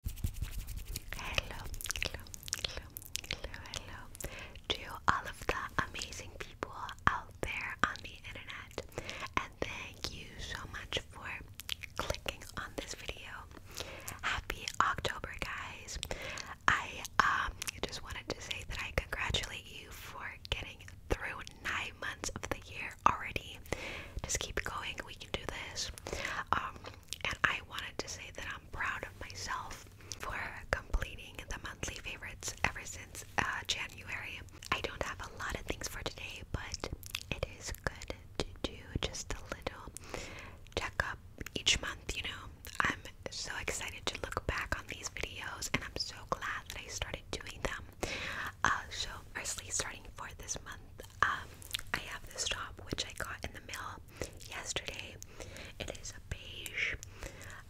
Hello, hello, hello, hello, to all of the amazing people out there on the internet, and thank you so much for clicking on this video. Happy October, guys! I um, just wanted to say that I congratulate you for getting through nine months of the year already. Just keep going. We can do this. Um, and I wanted to say that I'm proud of myself for completing the monthly favorites ever since uh, January. I don't have a lot of things for today, but it is good to do just a little checkup each month, you know. I'm so excited to look back on these videos, and I'm so glad that I started doing them. Uh, so, firstly, starting for this month, um, I have this top which I got in the mail yesterday. It is a beige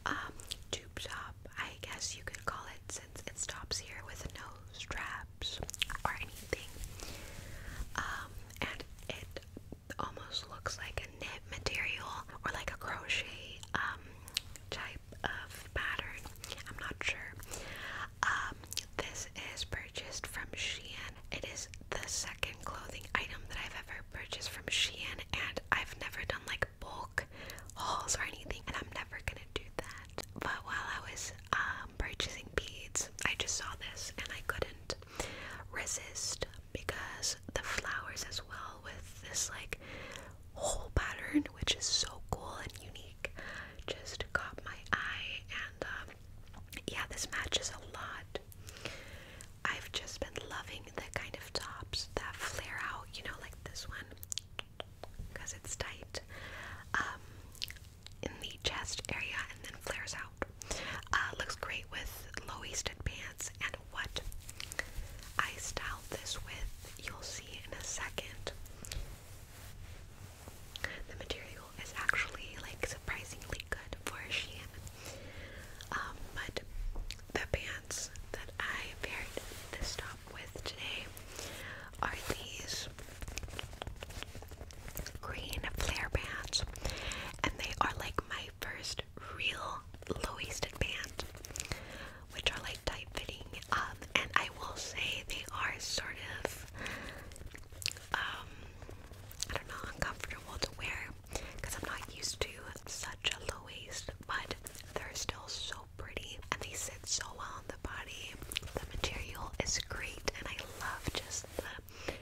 um, tube top, I guess you could call it, since it stops here with no straps or anything. Um, and it almost looks like a knit material or like a crochet type of pattern. I'm not sure. Um, this is purchased from Shein. It is the second clothing item that I've ever purchased from Shein, and I've never done like bulk hauls or anything, and I'm never gonna do that. But while I was um, purchasing beads, I just saw this and I couldn't resist because the flowers as well with this like whole pattern, which is so cool and unique, just caught my eye. And um, yeah, this matches a lot. I've just been loving the kind of tops that flare out, you know, like this one, because it's tight um, in the chest area and then flares out. Uh, looks great with low-waisted pants. And what I styled this with, you'll see in a second. The material is actually like surprisingly good for a Shein. Um, but the pants that I paired this top with today are these green flare pants, and they are like my first real low-waisted pants, which are like tight-fitting. Um, and I will say they are sort of um, I don't know, uncomfortable to wear because I'm not used to such a low waist, but they're still so pretty and they sit so well on the body. The material is great, and I love just the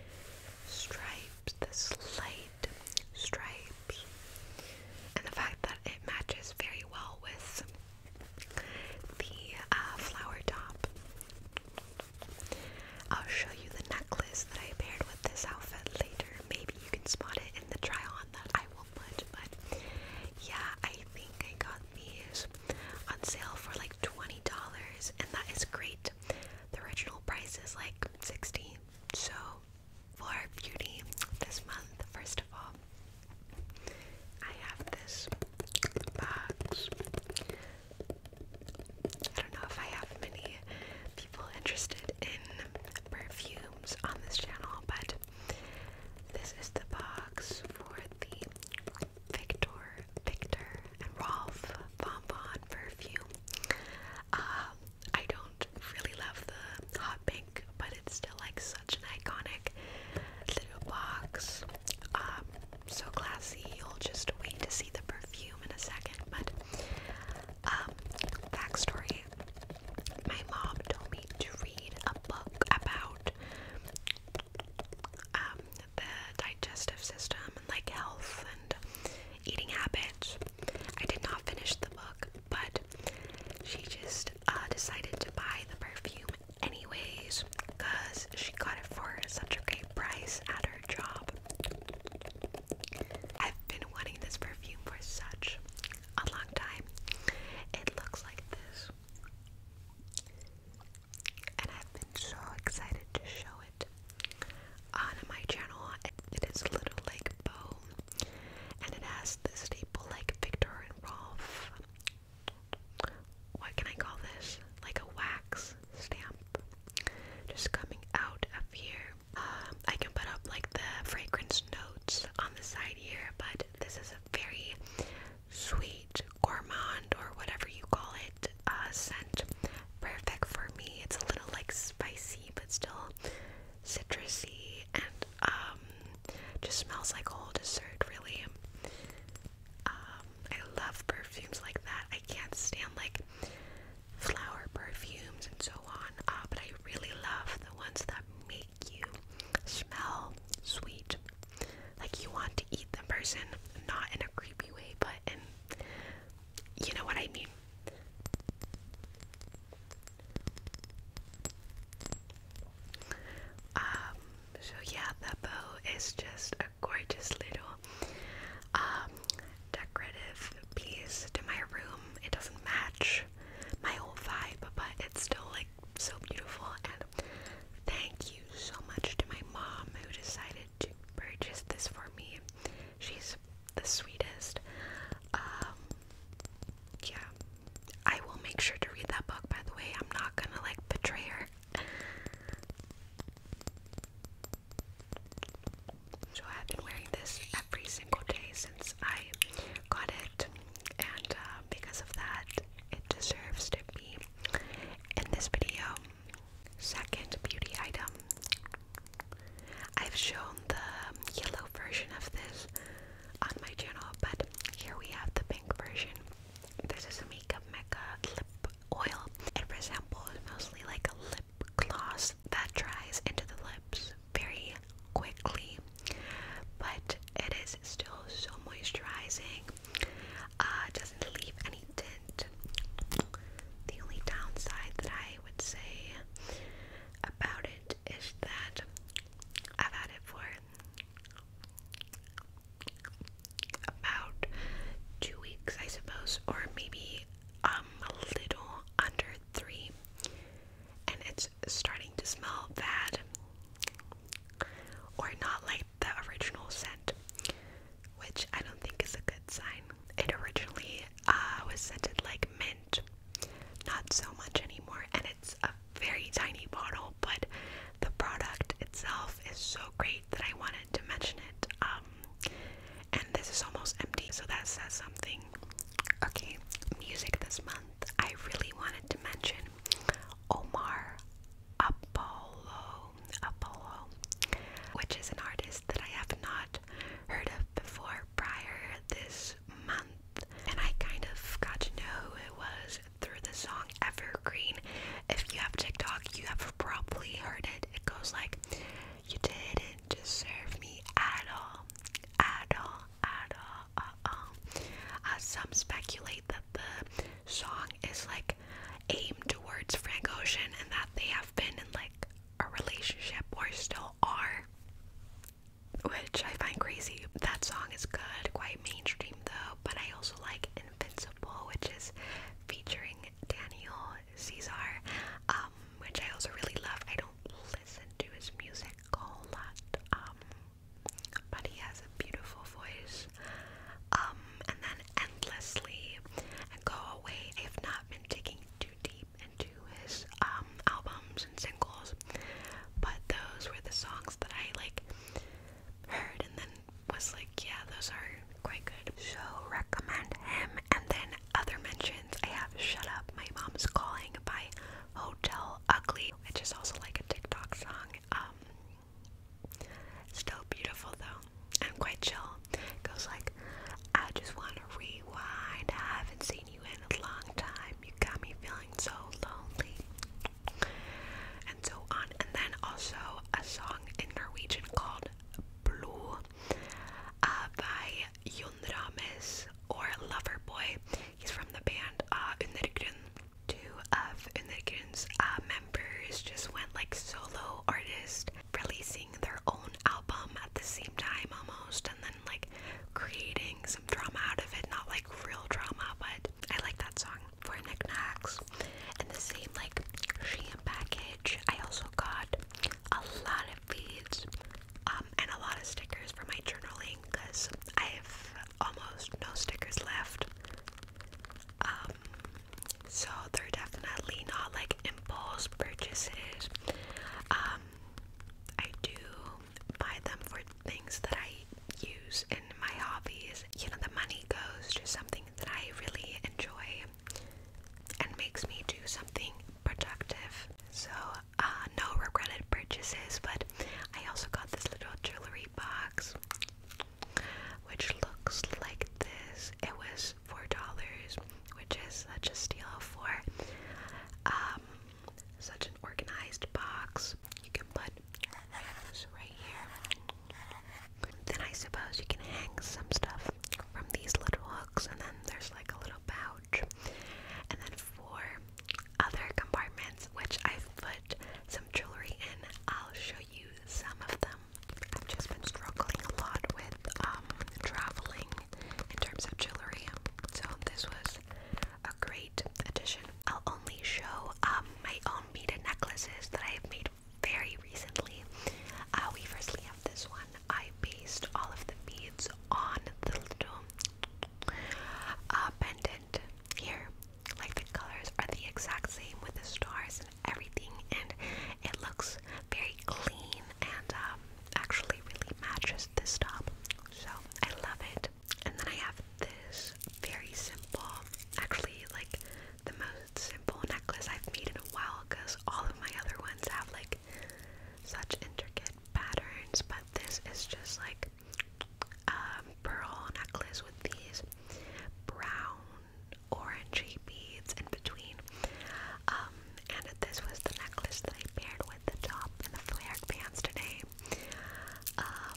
stripes, the slight stripes, and the fact that it matches very well with the uh, flower top. I'll show you the necklace that I paired with this outfit later. Maybe you can spot it in the try on that I will put, but yeah, I think I got these on sale for like $20, and that is great. The original price is like 60 so for beauty this month, first of all, I have this box. I don't know if I have many people interested in perfumes on this channel, but this is the box for the Victor, Victor, and Rolf Bonbon perfume. Um, I don't really love the hot pink, but it still like so such an iconic little box. Um, so classy. You'll just wait to see the perfume in a second. But um, backstory: my mom told me to read a book about um, the digestive system and like health and eating habits. I did not finish the book, but she just uh, decided to buy the perfume anyways because she got it for such a great price at her job. I've been wanting this perfume for such a long time. It looks like this. And I've been so excited to show it on my channel. It is a little like bow and it has the staple like Victor and Rolf what can I call this? Like a wax stamp just coming out of here. Um, I can put up like the fragrance notes on the side here, but this is a very sweet gourmand or whatever you call it uh, scent. Perfect for me. It's a little like spicy, but still citrusy and um just smells like old dessert, really. Um, I love perfumes like that. I can't stand like flower perfumes and so on, uh, but I really love the ones that make you smell sweet. Like you want to eat the person, not in a creepy way, but in you know what I mean. Um, so yeah, that bow is just a gorgeous little um, decorative piece to my room. It doesn't match my whole vibe, but it's still like so beautiful. And thank you so much to my mom who decided to purchase this for me. She's the sweetest. Um, yeah, I will make sure to read that book, by the way. I'm not gonna like betray her. So I've been wearing this every single day since I got it, and uh, because of that, it deserves to be in this video. Second beauty item. I've shown the yellow version of this on my channel, but here we have the pink version. This is a Makeup Mecca lip oil. It resembles mostly like a lip gloss that dries into the lips very quickly, but it is still so moisturizing. Uh, doesn't leave any tint. The only downside that I would say about it is that I've had it for about two weeks, I suppose, or maybe um, a little under three, and it's starting to smell bad, or not like the original scent, which I don't think is a good sign. It originally uh, was scented like mint, not so much anymore, and it's very tiny bottle, but the product itself is so great that I wanted to mention it. Um, and this is almost empty, so that says something. Okay, music this month. I really wanted to mention Omar Apollo, Apollo, which is an artist that I have not heard of before prior this month and I kind of got to know who it was through the song Evergreen. If you have TikTok, you have probably heard it. It goes like, You didn't deserve me at all, at all, at all, uh-uh. uh, some speculate that the song is like aimed towards Frank Ocean and that they have been in like a relationship or still are which I find crazy. That song is good, quite mainstream though, but I also like Invincible, which is featuring Daniel Caesar, um, which I also really love. I don't listen to his music a whole lot, um, but he has a beautiful voice. Um, and then Endlessly and Go Away. I have not been digging too deep into his, uh, um, albums and singles, but those were the songs that I like heard and then was like, yeah, those are quite good. So recommend him. And then other mentions, I have "Shut Up, My Mom's Calling" by Hotel Ugly, which is also like a TikTok song. Um, still beautiful though, I'm quite chill. goes like, I just wanna rewind. I haven't seen seen you in a long time. You got me feeling so lonely. And so on. And then also a song in Norwegian called Blue uh, by Jon Rames or Loverboy. He's from the band uh, Undergrund. Two of Undergrund's uh, members just went like solo artist, releasing their own album at the same time almost, and like creating some drama out of it. Not like real drama, but I like that song for knickknacks. And the same like Shein package, I also got a lot of beads um, and a lot of stickers for my journaling because I have almost no stickers left. Um, so they're definitely not like impulse purchases. Um, I do buy them for things that I use in my hobbies. You know, the money goes to something that I really enjoy and makes me do something productive. So, uh, no regretted purchases, but I also got this little jewelry box which looks like this. It was $4, which is such a steal for um such an organized box. You can put those right here. Then I suppose you can hang some stuff from these little hooks, and then there's like a little pouch. And then four other compartments, which I've put some jewelry in. I'll show you some of them. I've just been struggling a lot with um, traveling in terms of jewelry, so this was a great addition. I'll only show um, my own beaded necklaces that I have made very recently. Uh, we firstly have this one. I based all of the beads on the little uh, pendant here. Like the colors are the exact same with the stars and everything, and it looks very clean and um, actually really matches this top. So I love it. And then I have this very simple, actually like the most simple necklace I've made in a while because all of my other ones have like such intricate patterns, but this is just like a um, pearl necklace with these brown orangey beads in between. Um, and this was the necklace that I paired with the top and the flared pants today. Um,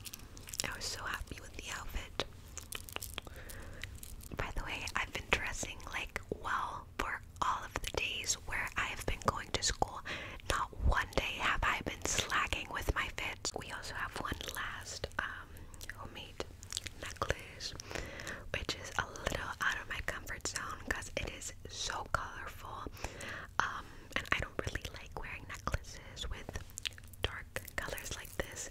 I was so happy with the outfit. By the way, I've been dressing like well for all of the days where I've been going to school. Not one day have I been slacking with my fits. We also have one last um, homemade necklace, which is a little out of my comfort zone because it is so colorful. Um, and I don't really like wearing necklaces with dark colors like this,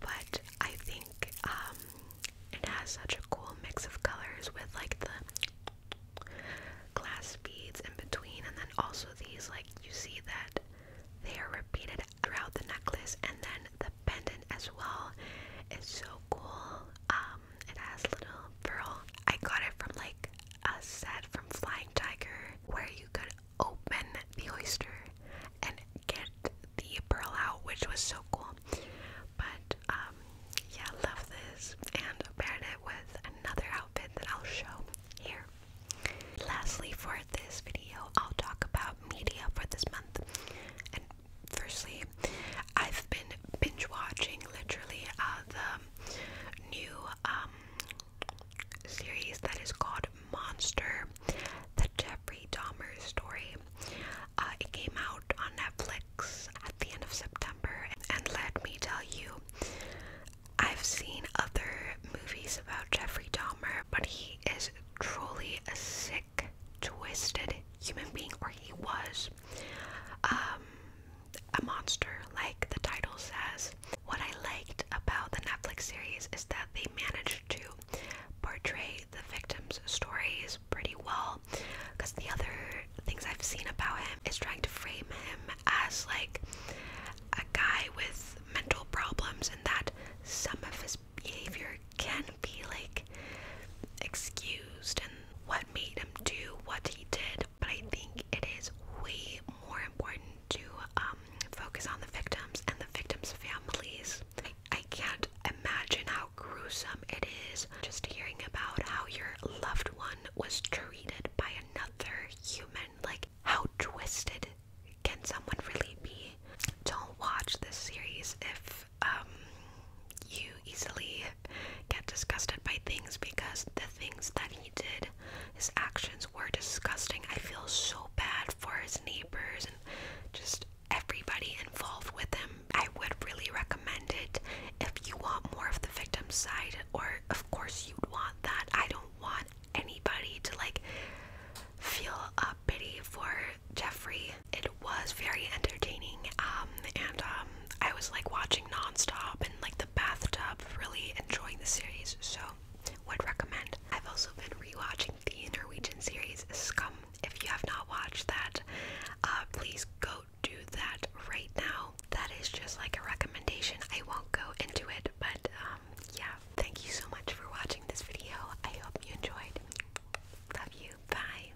but I think um, it has such a cool mix of colors with like the glass beads in between, and then also these like you see that they are repeated throughout the necklace, and then the pendant as well is so cool. Um, it has little pearl. I got it from like a set from Flying Tiger where you could open the oyster and get the pearl out, which was so cool. But um, yeah, love this and paired it with another outfit that I'll show here. Lastly, for this video, I'll talk about media for this month. And firstly, I've been binge watching literally uh, the new um, series that is called Monster, the Jeffrey Dahmer story. Uh, it came out on Netflix at the end of September, and let me tell you, I've seen other movies about Jeffrey Dahmer, but he is truly a sick, twisted human being, or he was. Um, a monster, like the title says. What I liked about the Netflix series is that they managed to portray the victim's stories pretty well. Because the other things I've seen about him is trying to frame him as like a guy with mental problems, and that some of his behavior can be like excused, and what made him do what he did, but I think it is way more important to um, focus on the victims and the victims' families. I, I can't imagine how gruesome it is just hearing about how your loved one was treated by another human. Like, how twisted can someone really be? Don't watch this series if um, you easily get disgusted by things because the things that he did, his actions were disgusting. I feel so bad for his neighbors and just everybody involved with him. I would really recommend it if you want more of the victim's side, or of course, you'd want that. I don't want anybody to like feel a pity for Jeffrey it was very entertaining, um, and um, I was like watching nonstop and like the bathtub, really enjoying the series. So, would recommend. I've also been rewatching the Norwegian series Scum. If you have not watched that, uh, please go do that right now. That is just like a recommendation. I won't go into it, but um, yeah. Thank you so much for watching this video. I hope you enjoyed. Love you. Bye.